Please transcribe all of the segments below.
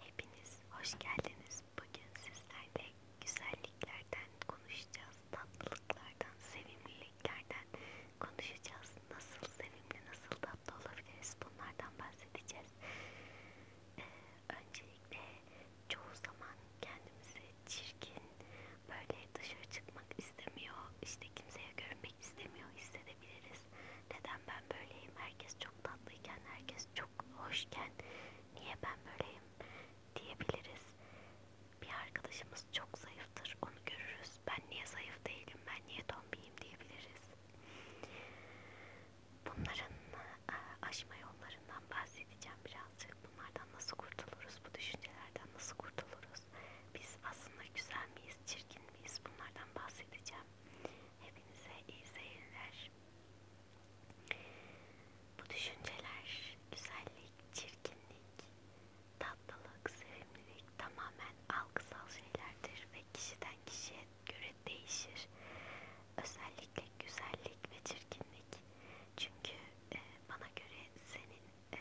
Hepiniz hoş geldiniz. Bugün sizlerle güzelliklerden konuşacağız, tatlılıklardan, sevimliliklerden konuşacağız. Nasıl sevimli, nasıl tatlı olabiliriz bunlardan bahsedeceğiz. Ee, öncelikle çoğu zaman kendimizi çirkin, böyle dışarı çıkmak istemiyor, işte kimseye görünmek istemiyor hissedebiliriz. Neden ben böyleyim? Herkes çok tatlıyken, herkes herkes çok hoşken niye ben böyleyim diyebiliriz. Bir arkadaşımız çok zayıftır onu görürüz. Ben niye zayıf değilim ben niye tombiyim diyebiliriz. Bunların e, aşma yollarından bahsedeceğim birazcık. Bunlardan nasıl kurtuluruz? Bu düşüncelerden nasıl kurtuluruz? Biz aslında güzel miyiz, çirkin miyiz? Bunlardan bahsedeceğim. Hepinize iyi seyirler. Bu düşünceler güzellik, çirkinlik, tatlılık, sevimlilik tamamen algısal şeylerdir ve kişiden kişiye göre değişir. Özellikle güzellik ve çirkinlik. Çünkü e, bana göre senin e,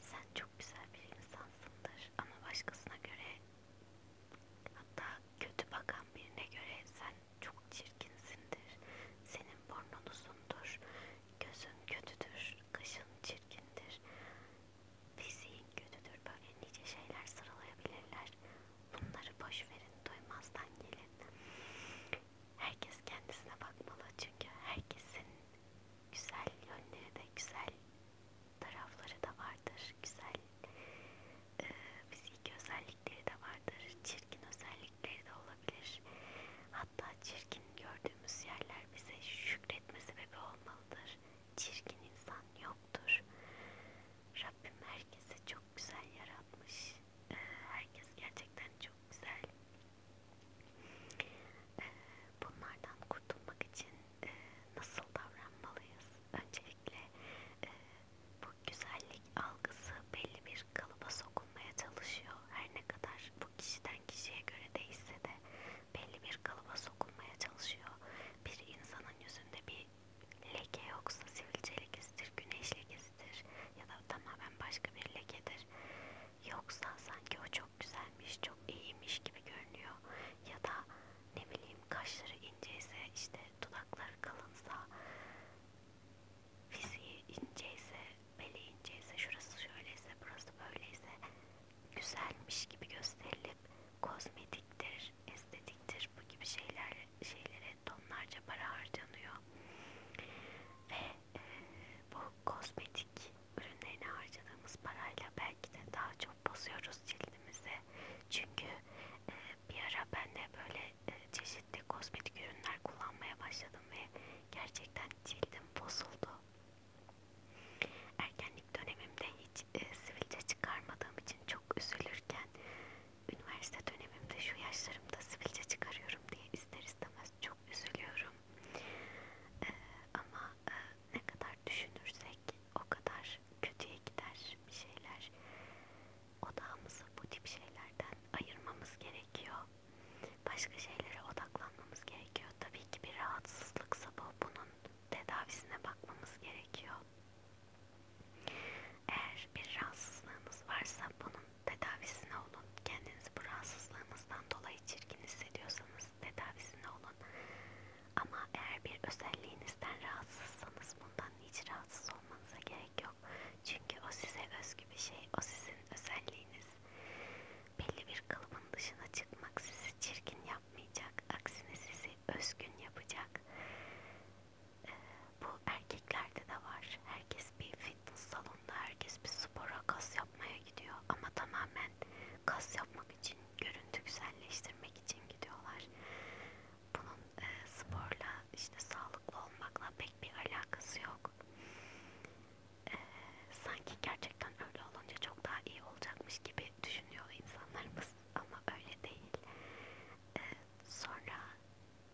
sen çok güzel bir insansındır ama başkasına göre Hatta kötü bakan birine göre sen çok çirkinsindir, senin burnun uzundur, gözün kötüdür, kaşın çirkindir, fiziğin kötüdür. Böyle nice şeyler sıralayabilirler. Bunları boş verin, duymazdan gelin. Herkes kendisine bakmalı çünkü herkesin güzel yönleri de güzel tarafları da vardır. Güzel e, fiziki özellikleri de vardır, çirkin özellikleri de olabilir. Hatta çirkin gördüğümüz yerler bize şükretme sebebi olmalıdır. Çirkin insan yoktur. Rabbim herkesi çok güzel yaratmış. E, herkes gerçekten çok güzel. Ee, bunlardan kurtulmak için e, nasıl davranmalıyız? Öncelikle kesinlikle e, bu güzellik algısı belli bir kalıba sokulmaya çalışıyor. Her ne kadar bu kişiden kişiye göre değişse de belli bir kalıba sokulmaya çalışıyor. Bir insanın yüzünde bir leke yoksa sivilce lekesidir, güneş lekesidir ya da tamamen başka bir lekedir. Yoksa sanki o çok güzelmiş, çok iyiymiş gibi görünüyor. Ya da ne bileyim kaşları inceyse işte dudakları kalınsa, fiziği inceyse, beli inceyse, şurası şöyleyse, burası böyleyse güzelmiş gibi gösterilip kozmetiktir, estetiktir bu gibi şeyler şeylere tonlarca para harcanıyor ve e, bu kozmetik ürünlerine harcadığımız parayla belki de daha çok bozuyoruz cildimizi çünkü e, bir ara ben de böyle e, çeşitli kozmetik ürünler kullanmaya başladım ve gerçekten cildim bozuldu. Erkenlik dönemimde hiç e, sivilce çıkarmadığım için çok üzülürken üniversite dönemimde şu yaşlarımda sivilce çıkarıyorum diye ister istemez çok üzülüyorum. E, ama e, ne kadar düşünürsek o kadar kötüye gider bir şeyler. Odağımızı bu tip şeylerden ayırmamız gerekiyor. Başka şeylere odaklanmamız gerekiyor. Tabii ki bir rahatsızlıksa bu bunun tedavisine bakmamız gerekiyor. Eğer bir rahatsızlığınız varsa bunun tedavisine olun. Kendinizi bu rahatsızlığınızdan dolayı çirkin hissediyorsanız tedavisine olun. Ama eğer bir özelliğinizden rahatsızsanız bundan hiç rahatsız olmanıza gerek yok. Çünkü o size özgü bir şey, o sizin özelliğiniz. Belli bir kalıbın dışına çıkmak sizi çirkin yapmayacak, aksine sizi özgün yapacak. Ee, bu erkeklerde de var. Herkes bir fitness salonunda, herkes bir spora kas yapmaya gidiyor ama tamamen kas yapmak için, görüntü güzelleştirmek için gidiyorlar bunun e, sporla işte sağlıklı olmakla pek bir alakası yok. E, sanki gerçekten öyle olunca çok daha iyi olacakmış gibi düşünüyor insanlarımız ama öyle değil. E, sonra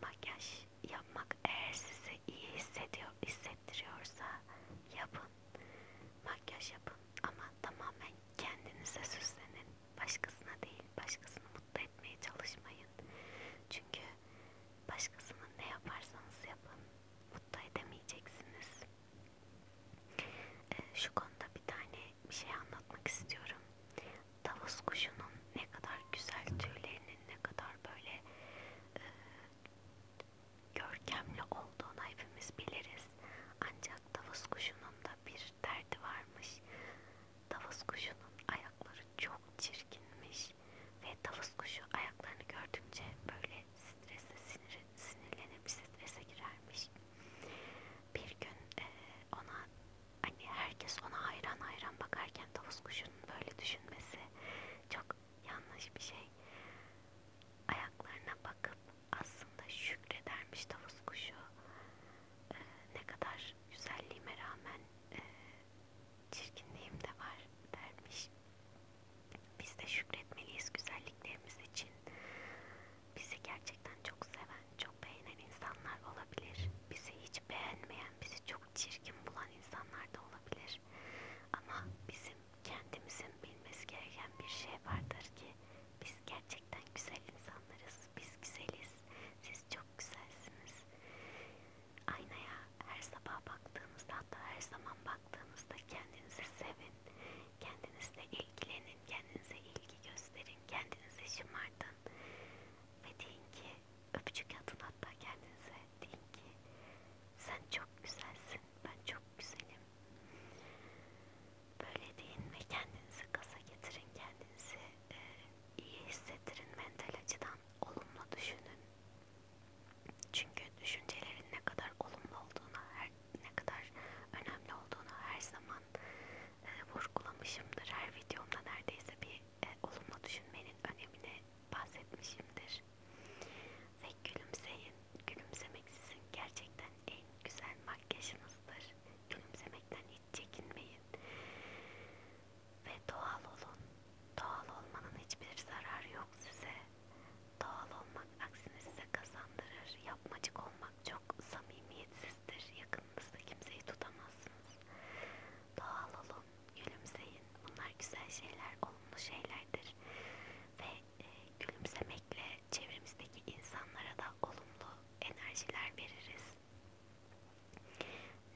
makyaj yapmak eğer sizi iyi hissediyor, hissettiriyorsa yapın. Makyaj yapın ama tamamen kendinize süslenin. Başkasına değil, başkasını mutlu etmeye çalışmayın. Çünkü başkasının ne yaparsanız yapın, mutlu edemeyeceksiniz. Ee, şu konuda bir tane bir şey anlatmak istiyorum. Tavus kuşunun ne kadar güzel tüylerinin ne kadar böyle e, görkemli olduğunu hepimiz biliriz. Ancak tavus kuşunun da bir derdi varmış. Tavus kuşunun ayakları çok çirkinmiş ve tavus kuşu ayaklarını gördükçe böyle strese sinir, sinirlenip strese girermiş. Bir gün e, ona hani herkes ona hayran hayran bakarken tavus kuşunun böyle düşünmesi çok yanlış bir şey. Ayaklarına bakıp aslında şükredermiş tavus kuşu e, ne kadar güzelliğime rağmen e, çirkinliğim de var dermiş. Biz de şükretmeliyiz güzelliklerimiz için. Bizi gerçekten çok seven, çok beğenen insanlar olabilir. Bizi hiç beğenmeyen, bizi çok çirkin bulan insanlar da olabilir. Ama bizim kendimizin bilmesi gereken bir şey vardır ki biz gerçekten güzel insanlarız, biz güzeliz, siz çok güzelsiniz. Aynaya her sabah baktığınızda hatta her zaman baktığınızda kendinizi sevin. Kendinizle ilgilenin, kendinize ilgi gösterin, kendinize şımartın. Ve deyin ki, öpücük atın hatta kendinize. Deyin ki, sen çok güzelsin, ben çok güzelim böyle deyin ve kendinizi gaza getirin, kendinizi e, iyi hissettirin, mental açıdan olumlu düşünün. Çünkü düşüncelerin ne kadar olumlu olduğuna, her, ne kadar önemli olduğuna her zaman e, vurgulamışımdır. Her videomda neredeyse bir e, olumlu düşünmenin önemini bahsetmişimdir. Ve gülümseyin. Gülümsemek sizin gerçekten en güzel makyajınızdır. Gülümsemekten hiç çekinmeyin ve doğal olun. Doğal olmanın hiçbir zararı yok size. Doğal olmak aksine size kazandırır. Yapmacık olmak çok samimiyetsizdir. Yakınınızda kimseyi tutamazsınız. Doğal olun, gülümseyin. Bunlar güzel şeyler, olumlu şeylerdir. Ve e, gülümsemekle çevremizdeki insanlara da olumlu enerjiler veririz.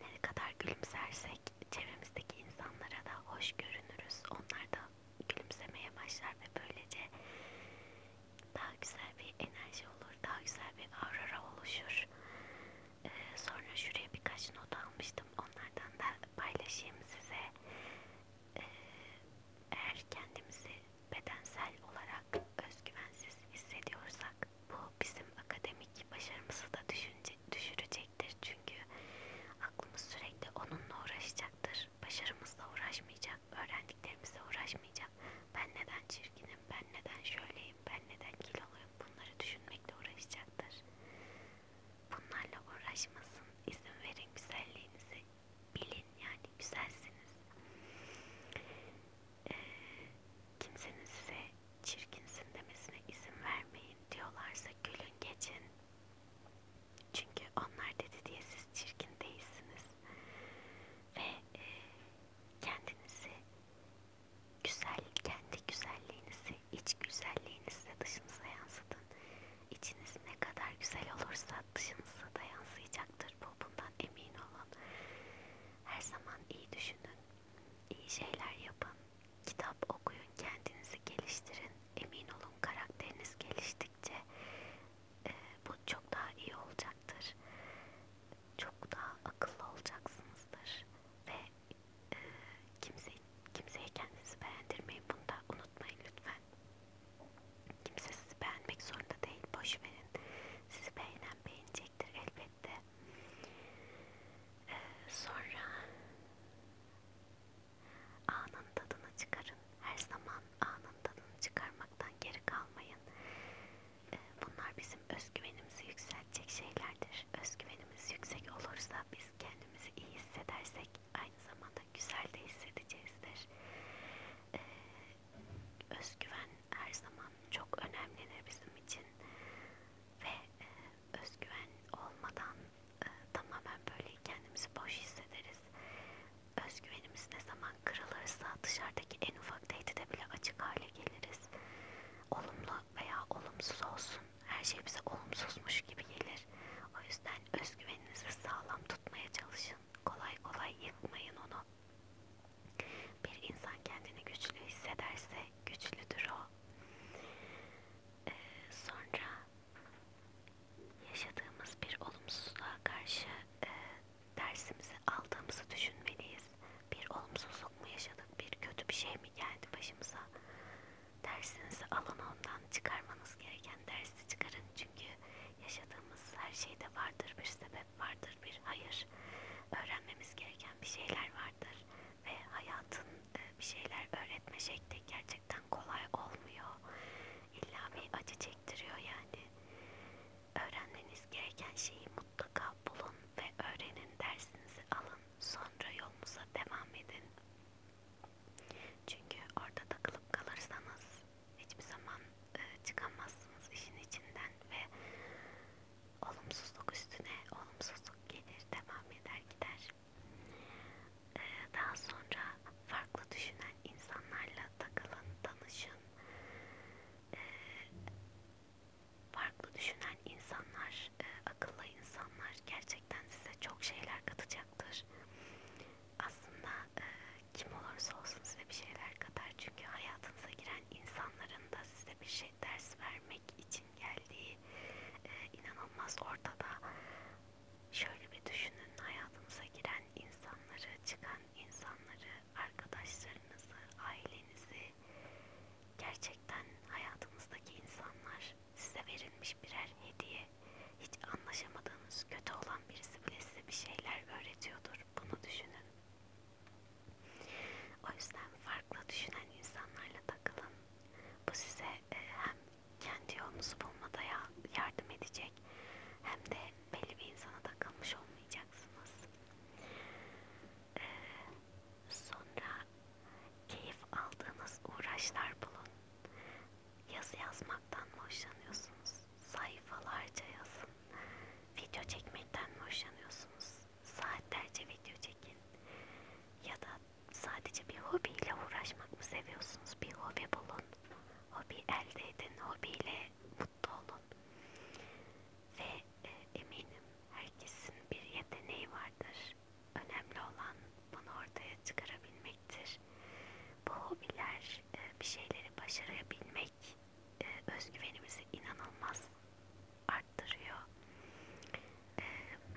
Ne kadar gülümsersek çevremizdeki insanlara da hoş görünürüz. Onlar da gülümsemeye başlar ve böylece daha güzel bir enerji olur, daha güzel bir aurora oluşur. Ee, sonra şuraya birkaç not almıştım. Onlardan da paylaşayım size. Ee, eğer kendimizi bedensel olarak özgüvensiz hissediyorsak bu bizim akademik başarımızı da düşünce, düşürecektir çünkü aklımız sürekli onunla uğraşacaktır. Başarımızla uğraşmayacak, öğrendiklerimize uğraşmayacak. Ben neden çirkinim, ben neden şöyleyim, ben neden kiloluyum bunları düşünmekle uğraşacaktır. Bunlarla uğraşmasın, izin verin güzelliğinizi bilin yani güzelsiniz kimsenin size çirkinsin demesine izin vermeyin diyorlarsa gülün geçin. Çünkü onlar dedi diye siz çirkin değilsiniz. Ve e, kendinizi güzel, kendi güzelliğinizi, iç güzelliğinizi de dışınıza yansıtın. İçiniz ne kadar güzel olursa dışınıza da yansıyacaktır olacaktır. Bu bundan emin olun. Her zaman iyi düşünün. iyi şeyler yapın. Kitap okuyun, kendinizi geliştirin. Emin olun karakteriniz geliştikçe e, bu çok daha iyi olacaktır. Çok daha akıllı olacaksınızdır ve e, kimse kimseye kendinizi beğendirmeyin. Bunu da unutmayın lütfen. Kimse sizi beğenmek zorunda değil. Boş verin. Sizi beğenen annem beğenecektir elbette. Ee, sonra anın tadını çıkarın. Her zaman anın tadını çıkarmaktan geri kalmayın. Ee, bunlar bizim özgüvenimizi yükseltecek şeylerdir. Özgüvenimiz yüksek olursa biz kendimizi iyi hissedersek aynı zamanda güzel de hissedeceğizdir. Ee, özgüven her zaman çok önemlidir bizim için ve e, özgüven olmadan e, tamamen böyle kendimizi boş hissederiz. Özgüvenimiz ne zaman kırılırsa dışarıdaki en ufak tehdide bile açık hale geliriz. Olumlu veya olumsuz olsun her şey bize olumsuzmuş gibi gelir. O yüzden özgüveninizi sağlam tutmaya çalışın. Kolay kolay yıkmayın onu. Bir insan kendini güçlü hissederse güçlüdür o. Ee, sonra yaşadığımız bir olumsuzluğa karşı e, dersimizi aldığımızı düşünmeliyiz. Bir olumsuzluk mu yaşadık, bir kötü bir şey mi geldi başımıza? Dersinizi alın ondan çıkarmanız gereken dersi çıkarın çünkü yaşadığımız her şeyde vardır bir sebep vardır bir hayır. Öğrenmemiz gereken bir şeyler vardır ve hayatın e, bir şeyler öğretme şekli gerçekten kolay olmuyor. İlla bir acı çektiriyor yani. Öğrenmeniz gereken şeyi mutlaka bulun ve öğrenin dersinizi alın. Sonra yolunuza devam edin. Çünkü orada takılıp kalırsanız hiçbir zaman e, çıkamazsınız işin içinden ve olumsuzluk üstüne olumsuzluk gelir, devam eder gider. Ee, daha sonra farklı düşünen insanlarla takılın, tanışın. Ee, farklı düşünen insanlar, e, akıllı insanlar gerçekten size çok şeyler katacaktır. Aslında e, kim olursa olsun size bir şeyler katar çünkü hayatınıza giren insanların da size bir şey ders vermek için geldiği e, inanılmaz ortada. Şöyle bir düşünün hayatınıza giren insanları, çıkan insanları, arkadaşlarınızı, ailenizi gerçekten hayatınızdaki insanlar size verilmiş birer hediye. Hiç anlaşamadığınız kötü olan birisi bile size bir şeyler öğretiyordur. Bunu düşünün. O yüzden farklı düşünen insanlarla takılın. Bu size e, hem kendi yolunuzu bulmada yardım edecek hem de belli bir insana takılmış olmayacaksınız. E, sonra keyif aldığınız uğraşlar bulun. Yazı yazmaktan mı hoşlanıyorsunuz? Sayfalarca yazın. Video çekmekten mi hoşlanıyorsunuz? saatlerce video çekin ya da sadece bir hobiyle uğraşmak mı seviyorsunuz? Bir hobi bulun, hobi elde edin, hobiyle mutlu olun ve e, eminim herkesin bir yeteneği vardır. Önemli olan bunu ortaya çıkarabilmektir. Bu hobiler e, bir şeyleri başarabilmek etmek e, özgüvenimizi inanılmaz arttırıyor. E,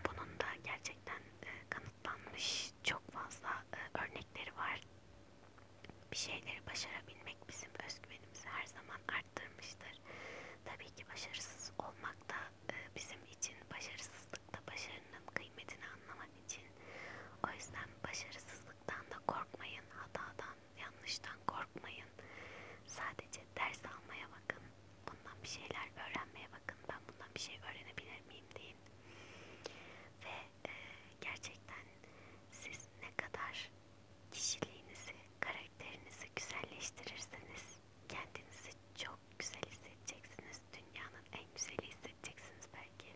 bunun da gerçekten e, kanıtlanmış çok fazla e, örnekleri var. Bir şeyleri başarabilmek bizim özgüvenimizi her zaman arttırmıştır. Tabii ki başarısız olmak da e, bizim için başarısızlıkta başarının kıymetini anlamak için. O yüzden başarısızlıktan da korkmayın, hatadan hatadan, yanlıştan korkmayın. Sadece ders almaya bakın. Bundan bir şeyler öğrenmeye bakın. Ben bundan bir şey öğrenebilir miyim deyin. Ve e, gerçekten siz ne kadar kişiliğinizi, karakterinizi güzelleştirirseniz kendinizi çok güzel hissedeceksiniz. Dünyanın en güzeli hissedeceksiniz belki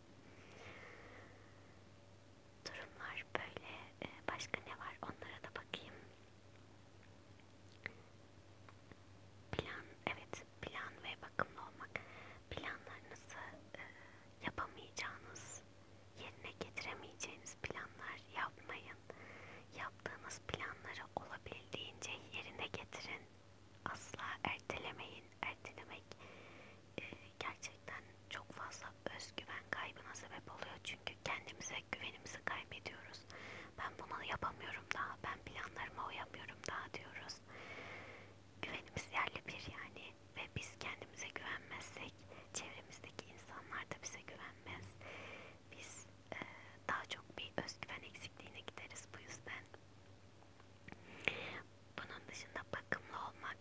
durumlar böyle. E, başka ne var? Onlara da bakayım. Plan, evet plan ve bakımlı olmak. Planlarınızı e, yapamayacağınız, yerine getiremeyeceğiniz planlar yapmayın. Yaptığınız planları olabildiğince yerine getirin. Asla ertelemeyin. Ertelemek e, gerçekten gerçekten çok fazla özgüven kaybına sebep oluyor. Çünkü kendimize güvenimizi kaybediyoruz. Ben bunu yapamıyorum daha, ben planlarıma uyamıyorum daha diyoruz. Güvenimiz yerli bir yani ve biz kendimize güvenmezsek çevremizdeki insanlar da bize güvenmez. Biz e, daha çok bir özgüven eksikliğine gideriz bu yüzden. Bunun dışında bakımlı olmak,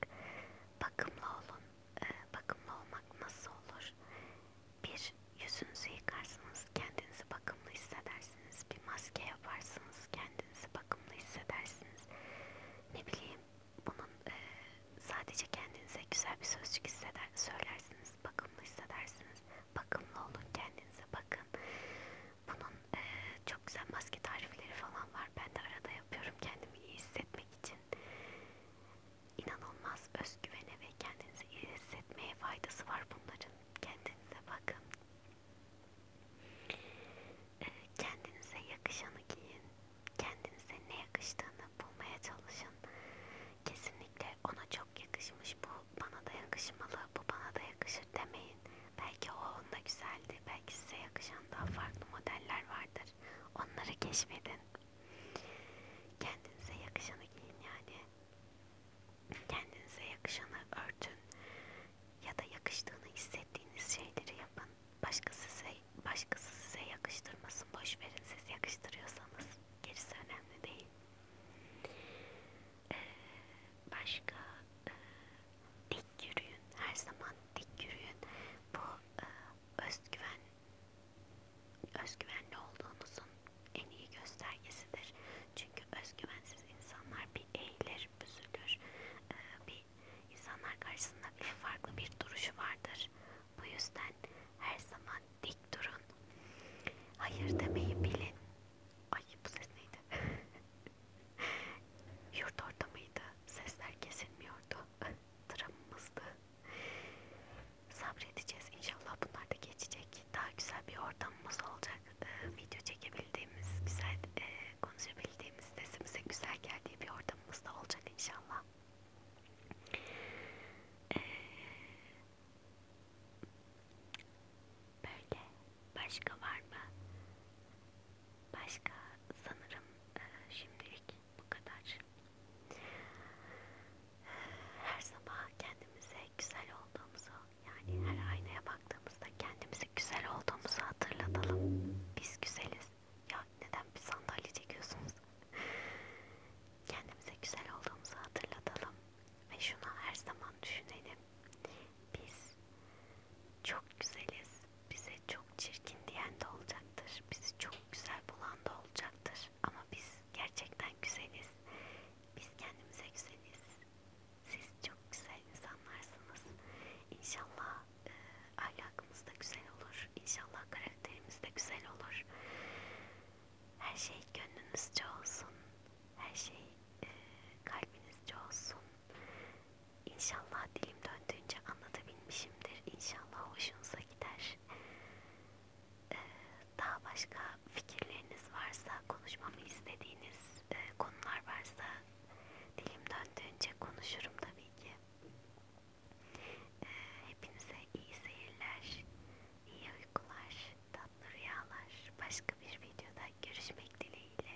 bakımlı olun, e, bakımlı olmak nasıl olur? Bir, yüzünüzü yıkarsınız, kendinizi bakımlı hissedersiniz. Bir maske yaparsınız, kendinizi bakımlı hissedersiniz. Ne bileyim, bunun e, sadece kendinize güzel bir sözcük hisseder, söylersiniz, bakımlı hissedersiniz. Bakımlı olun, kendinize bakın. Bunun e, çok güzel maske tarifleri falan var. Ben de arada yapıyorum kendimi iyi hissetmek için. İnanılmaz özgüvene ve kendinizi iyi hissetmeye faydası var bunların. Kendinize bakın. Ee, kendinize yakışanı giyin. Kendinize ne yakıştığını bulmaya çalışın. Kesinlikle ona çok yakışmış bu bana da yakışmalı, bu bana da yakışır demeyin. Belki o onda güzeldi, belki size yakışan daha farklı modeller vardır. Onları keşfedin. Kendinize yakışanı giyin yani. Kendinize yakışanı örtün. Ya da yakıştığını hissettiğiniz şeyleri yapın. Başkası size, başkası size yakıştırmasın. Boş verin siz yakıştırıyorsanız. Gerisi önemli değil. Ee, başka e, dik yürüyün. Her zaman dik yürüyün. Bu e, özgüven özgüvenli olduğunuzun en iyi göstergesidir. Çünkü özgüvensiz insanlar bir eğilir, büzülür. Ee, bir insanlar karşısında bile farklı bir duruşu vardır. Bu yüzden her zaman dik durun. Hayır demeyi bilin. Ay bu ses neydi? Yurt ortamıydı. Sesler kesilmiyordu. Dramımızdı. Sabredeceğiz inşallah bunlar da geçecek. Daha güzel bir ortamımız olacak. Ee, video çekebildiğimiz, güzel e, konuşabildiğimiz, sesimize güzel geldiği bir ortamımız da olacak inşallah. Ee, böyle başka var mı? Başka sanırım e, şimdi şimdilik bu kadar. Her sabah kendimize güzel olduğumuzu yani her aynaya baktığımızda kendimizi güzel olduğumuzu hatırlatalım. Biz güzeliz. Ya neden bir sandalye çekiyorsunuz? Kendimize güzel olduğumuzu hatırlatalım ve şunu her zaman düşünelim. Biz çok güzeliz. Bize çok çirkin diyen de olacaktır. Bizi çok güzel bulan da olacaktır. Ama biz gerçekten güzeliz. Biz kendimize güzeliz. Siz çok güzel insanlarsınız. İnşallah e, ahlakımız da güzel olur. İnşallah karakterimiz de güzel olur. Her şey gönlünüzce olsun. Her şey e, kalbinizce olsun. İnşallah dilim döndüğünce anlatabilmişimdir. İnşallah hoşunuza gider. Ee, daha başka fikirleriniz varsa, konuşmamı istediğiniz e, konular varsa dilim döndüğünce konuşurum tabii ki. Ee, hepinize iyi seyirler, iyi uykular, tatlı rüyalar. Başka bir videoda görüşmek dileğiyle.